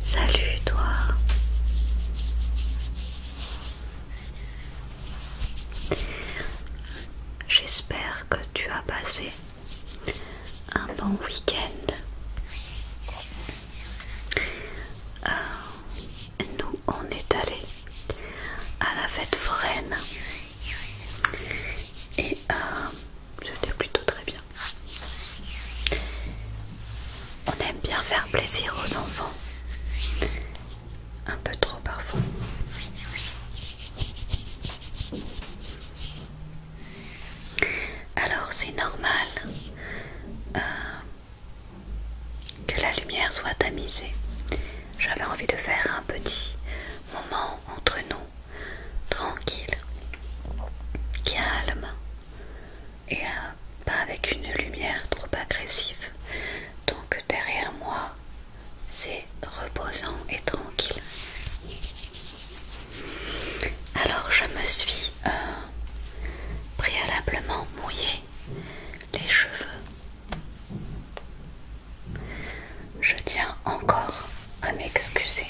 Salut toi. J'espère que tu as passé un bon week-end. Euh, nous, on est allé à la fête foraine et euh, je c'était plutôt très bien. On aime bien faire plaisir aux enfants. Un peu trop parfois. Alors c'est normal euh, que la lumière soit tamisée. J'avais envie de faire un petit moment entre nous tranquille, calme et euh, pas avec une lumière trop agressive. Donc derrière moi, c'est reposant et tranquille. Alors je me suis euh, préalablement mouillé les cheveux je tiens encore à m'excuser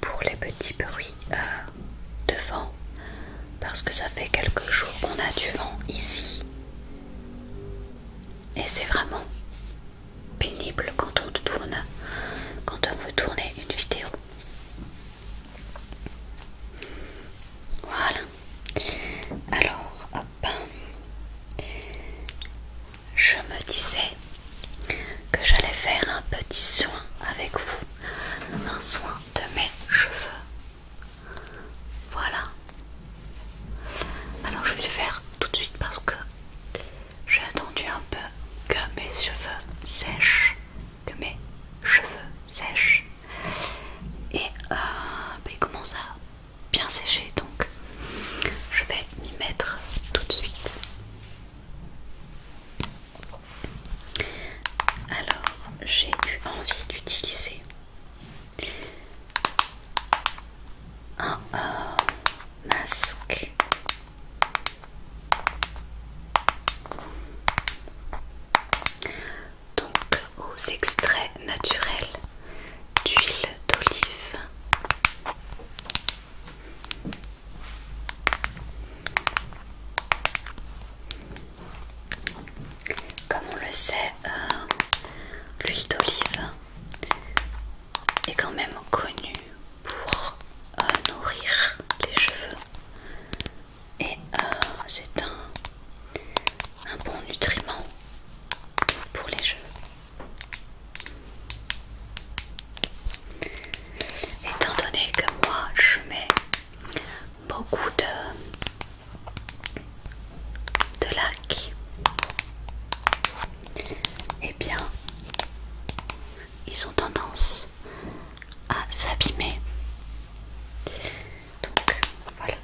pour les petits bruits euh, de vent parce que ça fait quelques jours qu'on a du vent ici et c'est vraiment pénible quand on tourne quand on veut tourner une vidéo voilà alors hop je me disais que j'allais faire un petit soin avec vous, un soin de mes cheveux. Voilà. Alors je vais le faire tout de suite parce que j'ai attendu un peu que mes cheveux sèchent, que mes cheveux sèchent. Et euh, ça ben, bien séché donc je vais m'y mettre tout de suite. Alors j'ai eu envie d'utiliser un euh, masque donc aux extraits naturels d'huile d'olive. Comme on le sait, euh, l'huile d'olive est quand même connue pour euh, nourrir les cheveux et euh, c'est un, un bon nutriment pour les cheveux. Étant donné que moi je mets beaucoup de, de lac, eh bien ils ont tendance à s'abîmer. Donc voilà.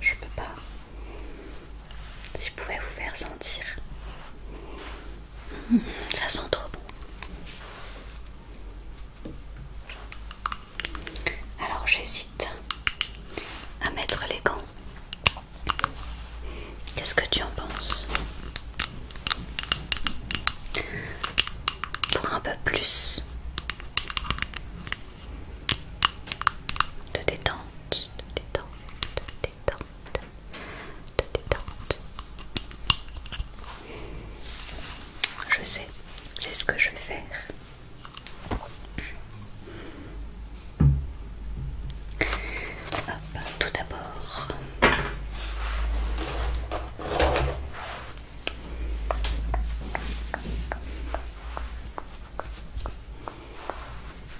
Je peux pas si je pouvais vous faire sentir. Hmm, ça sent trop bon. Alors j'hésite à mettre les gants. Qu'est-ce que tu en penses Pour un peu plus de détente de détente, de détente, de détente. Je sais, c'est ce que je vais faire. Hop, tout d'abord.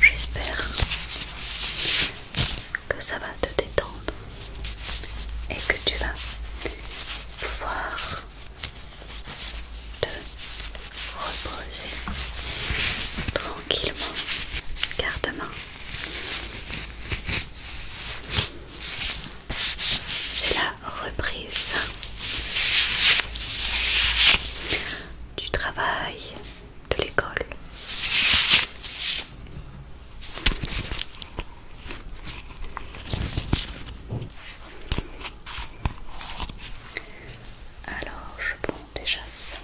J'espère que ça va te détendre et que tu vas pouvoir te reposer tranquillement car demain c'est la reprise du travail de l'école. Alors, je prends déjà ça.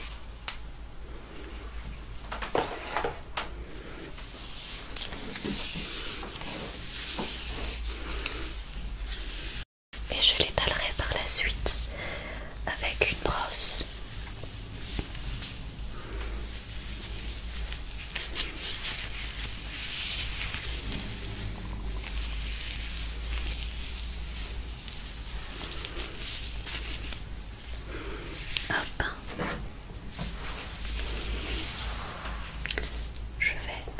Et je l'étalerai par la suite avec une brosse. Hop. Je vais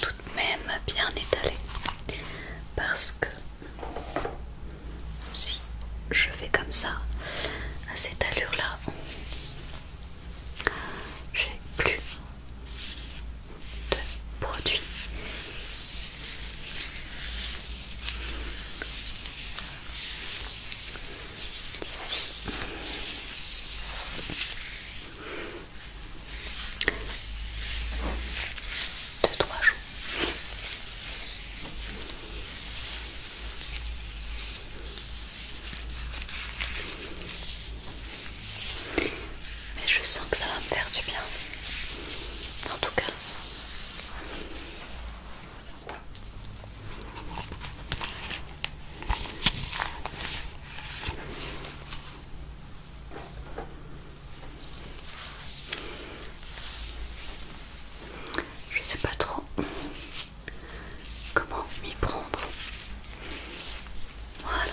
tout de même bien étalé parce que si je fais comme ça à cette allure là j'ai plus de produits Si deux trois jours. Mais je sens que ça va me faire du bien. En tout cas. Je sais pas trop comment m'y prendre. Voilà.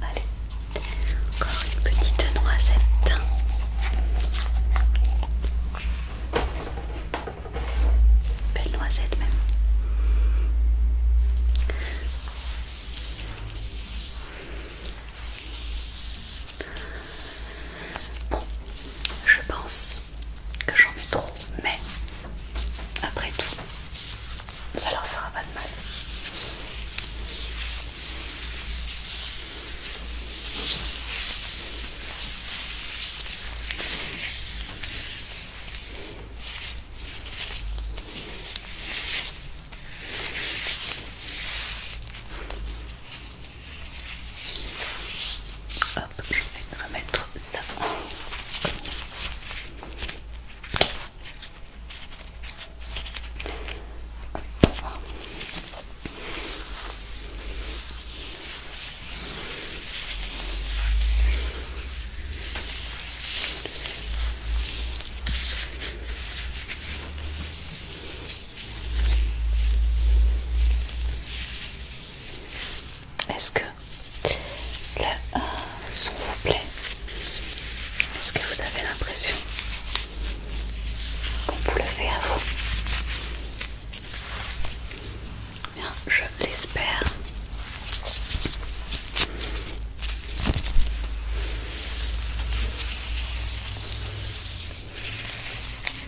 Allez, encore une petite noisette. Belle noisette même. je pense que j'en ai trop, mais après tout, ça leur fera pas de mal. Hop, je vais remettre est-ce que le son vous plaît Est-ce que vous avez l'impression qu'on vous le fait à vous Bien, je l'espère.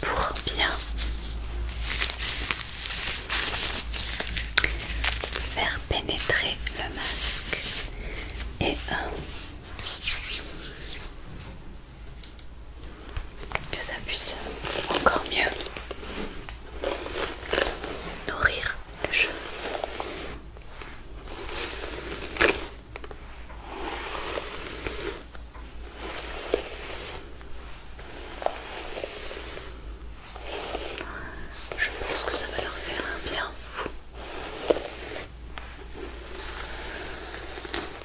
Pour bien faire pénétrer le masque et un que ça puisse encore mieux nourrir le jeu. Je pense que ça va leur faire un bien fou.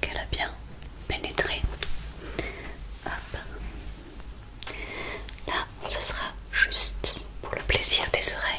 qu'elle a bien pénétré. Là, ce sera juste pour le plaisir des oreilles.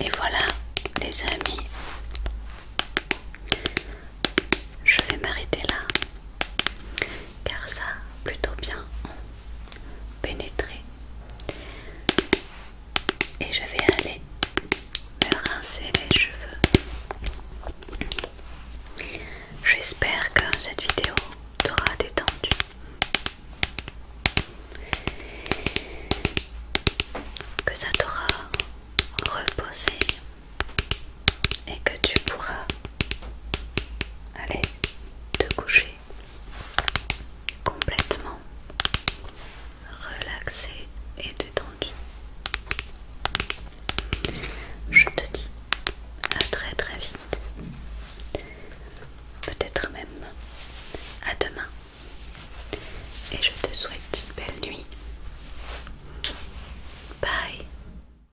Et voilà les amis, je vais m'arrêter là car ça plutôt bien pénétré. Et je vais aller me rincer les cheveux. J'espère que cette vidéo t'aura détendu. Que ça t'aura reposé et que tu pourras aller te coucher complètement relaxé et détendu. Je te dis à très très vite, peut-être même à demain, et je te souhaite une belle nuit. Bye